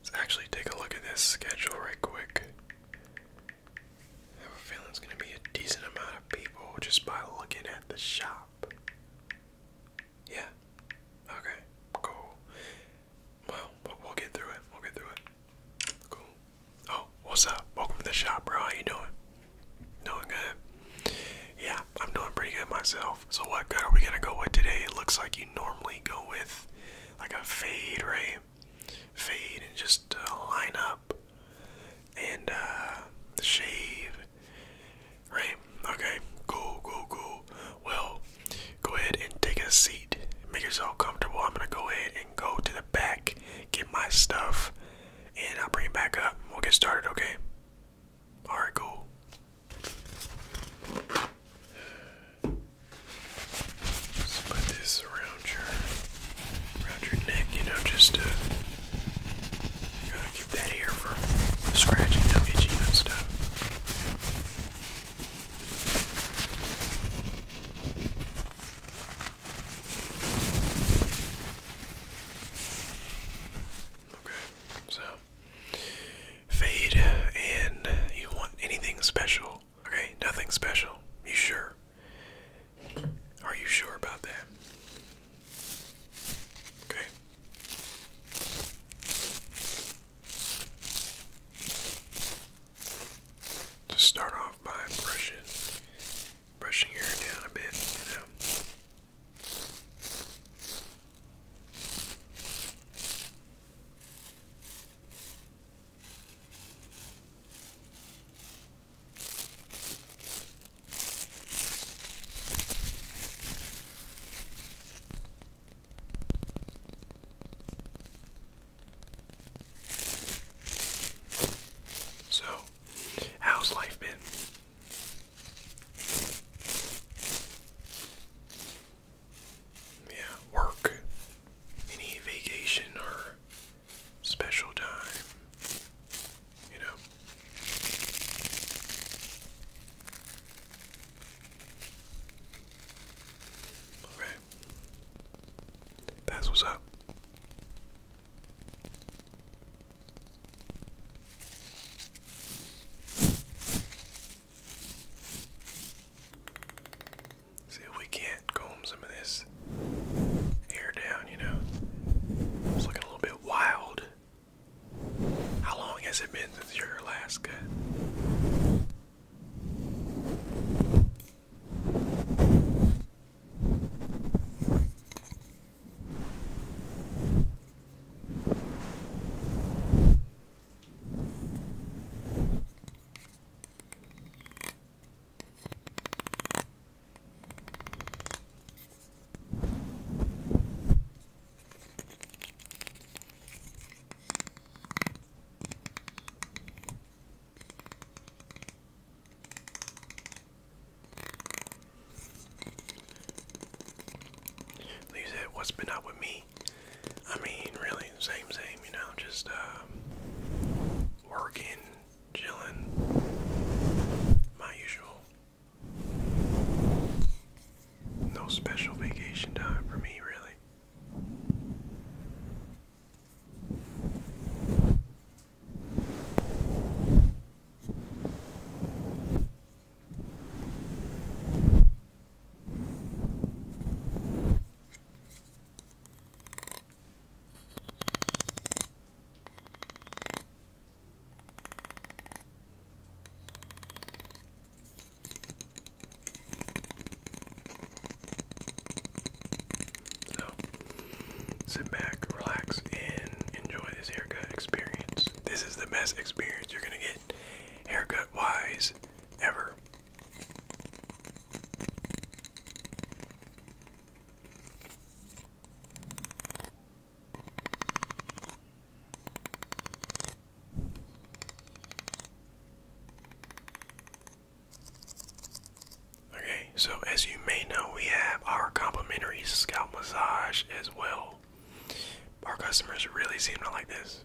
Let's actually take a look at this schedule right quick. I have a feeling it's going to be a decent amount of people just by looking at the shop. Yeah. Okay. Cool. Well, we'll get through it. We'll get through it. Cool. Oh, what's up? Welcome to the shop, bro. How you doing? Doing good? Yeah, I'm doing pretty good myself. So what good we gonna go with today? It looks like you normally go with like a fade ray, fade and just uh, line up and uh, shave, right? Okay, cool, cool, cool. Well, go ahead and take a seat, make yourself comfortable. I'm gonna go ahead and go to the back, get my stuff, and I'll bring it back up. We'll get started, okay? All right, cool. Just put this around your around your neck, you know, just to keep that here for scratching, don't and stuff. Okay, so fade, and you want anything special Okay, nothing special. You sure? Are you sure about that? Okay. Just start off by brushing, brushing hair down a bit, you know. So, how's life been? yeah, work, any vacation or special time, you know. Okay. That's what's up. See if we can't comb some of this hair down, you know. It's looking a little bit wild. How long has it been since your last cut? Lisa, what's been up with me? I mean, really, same, same, you know, just uh, working, chilling, my usual. No special vacation time for me, really. So, sit back, relax, and enjoy this haircut experience. This is the best experience you're gonna get haircut wise ever. Okay, so as you may know, we have our complimentary scalp massage as well. Our customers really seem to like this.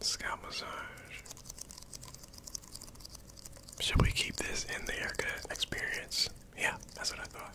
Scalp massage. Should we keep this in the haircut experience? Yeah, that's what I thought.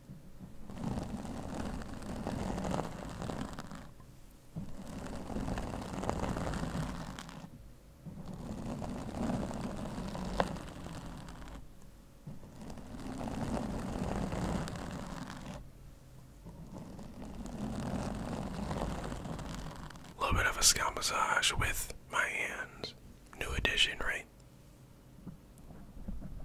A little bit of a scalp massage with my hands. New addition, right?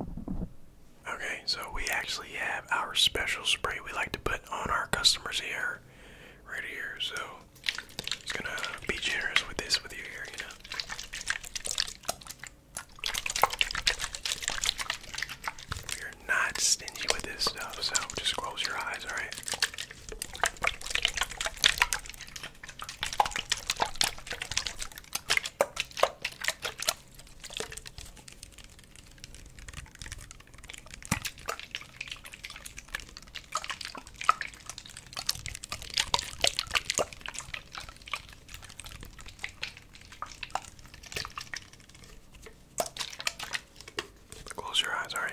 Okay, so we actually have our special spray we like to put on our customers here, right here. So it's gonna be generous with this with you here, you know. We're not stingy with this stuff, so just close your eyes, alright? Close your eyes, all right.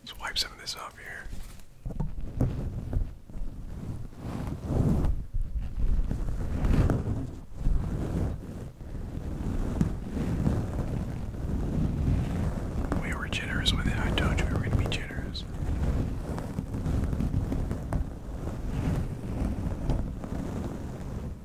Let's wipe some of this off here. We were generous with it. I told you we were going to be generous.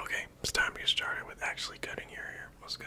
Okay, it's time to start with actually cutting your hair. Let's go.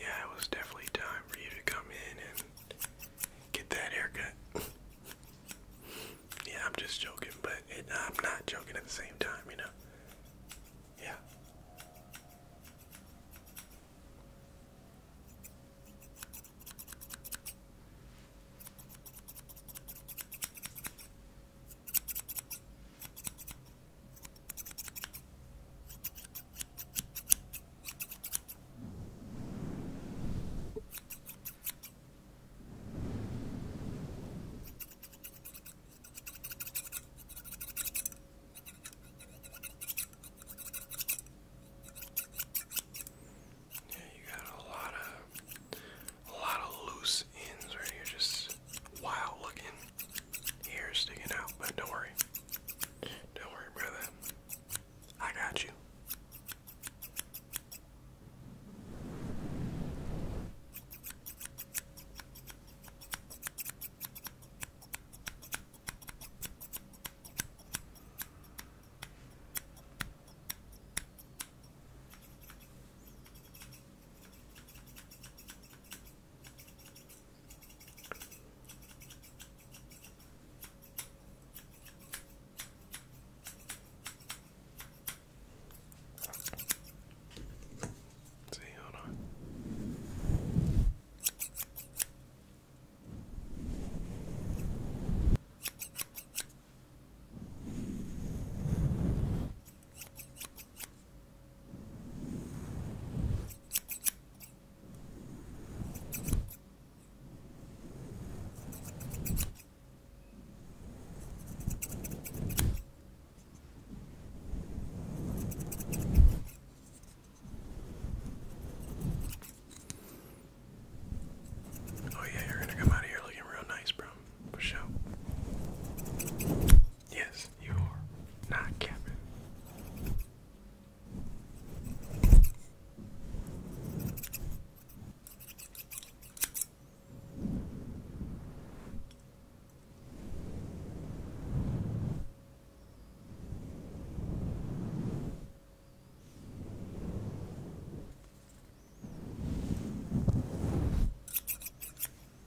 Yeah, it was definitely time for you to come in and get that haircut. yeah, I'm just joking, but I'm not joking at the same time, you know? Yeah. Yeah, you got a lot of a lot of loose ends right here, just is looking hair sticking out, but don't worry. Don't worry, brother. I got you. See, hold on. Oh yeah, you're gonna come out of here looking real nice, bro. For sure. Yes, you are not Captain.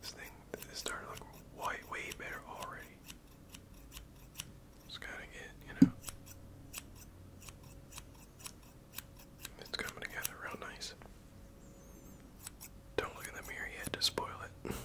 This thing is starting to look white way better already. It's gotta get, you know. It's coming together real nice. Don't look in the mirror yet to spoil it.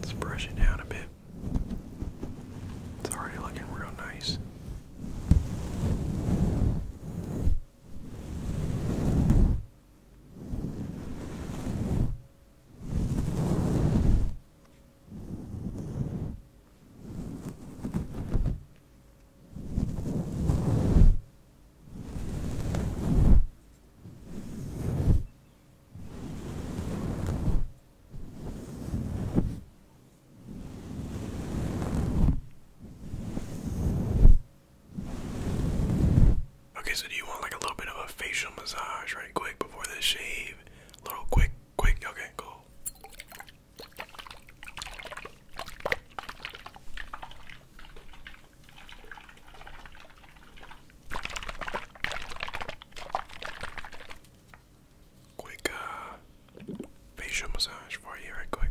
Let's brush it down a bit. It's already looking real nice. Okay, so do you want like a little bit of a facial massage right quick before the shave? A little quick, quick, okay, cool. Quick uh, facial massage for you, right quick.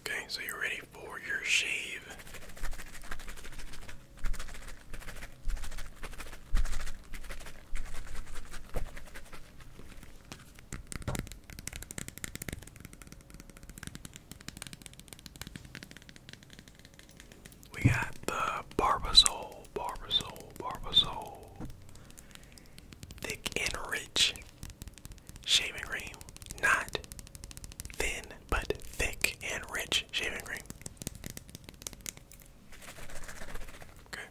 Okay, so you're ready for your shave. We got the Barbasol, Barbasol, Barbasol thick and rich shaving cream. Not thin, but thick and rich shaving cream. Okay.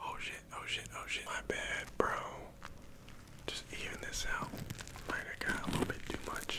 Oh shit, oh shit, oh shit. My bad, bro. Just even this out. Might have got a little bit too much.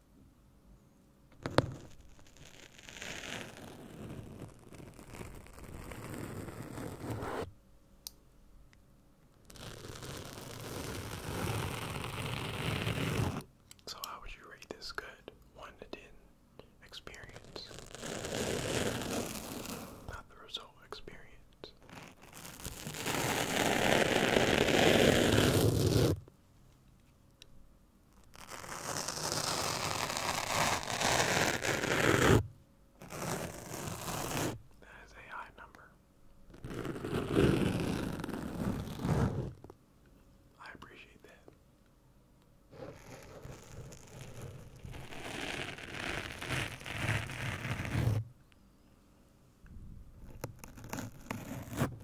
So, how would you rate this good? 1 to 10 experience. Not the result, experience. That is a high number. I appreciate that.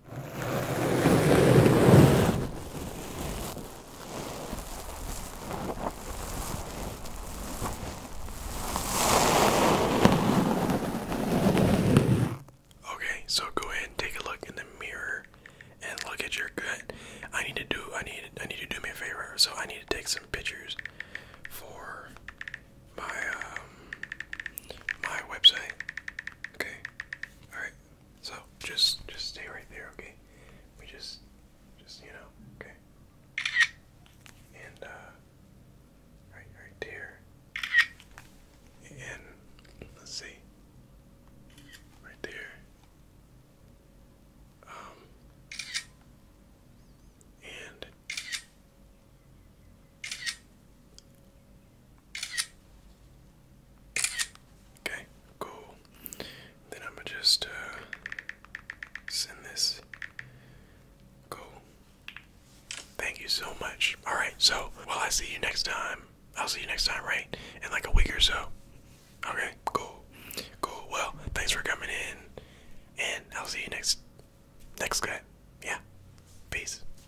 Okay, so go ahead and take a look in the mirror and look at your gut. I need to do I need I need to do me a favor. So I need to take some pictures for my um, my website. Okay. Alright. So just just stay right there, okay? We just just you know, okay. And uh, right right there. And let's see. Right there. Um and Okay, cool. Then I'm gonna just uh, send this. Cool. Thank you so much. All right, so well, I see you next time. I'll see you next time, right? In like a week or so. Okay, cool, cool. Well, thanks for coming in, and I'll see you next next guy. Yeah, peace.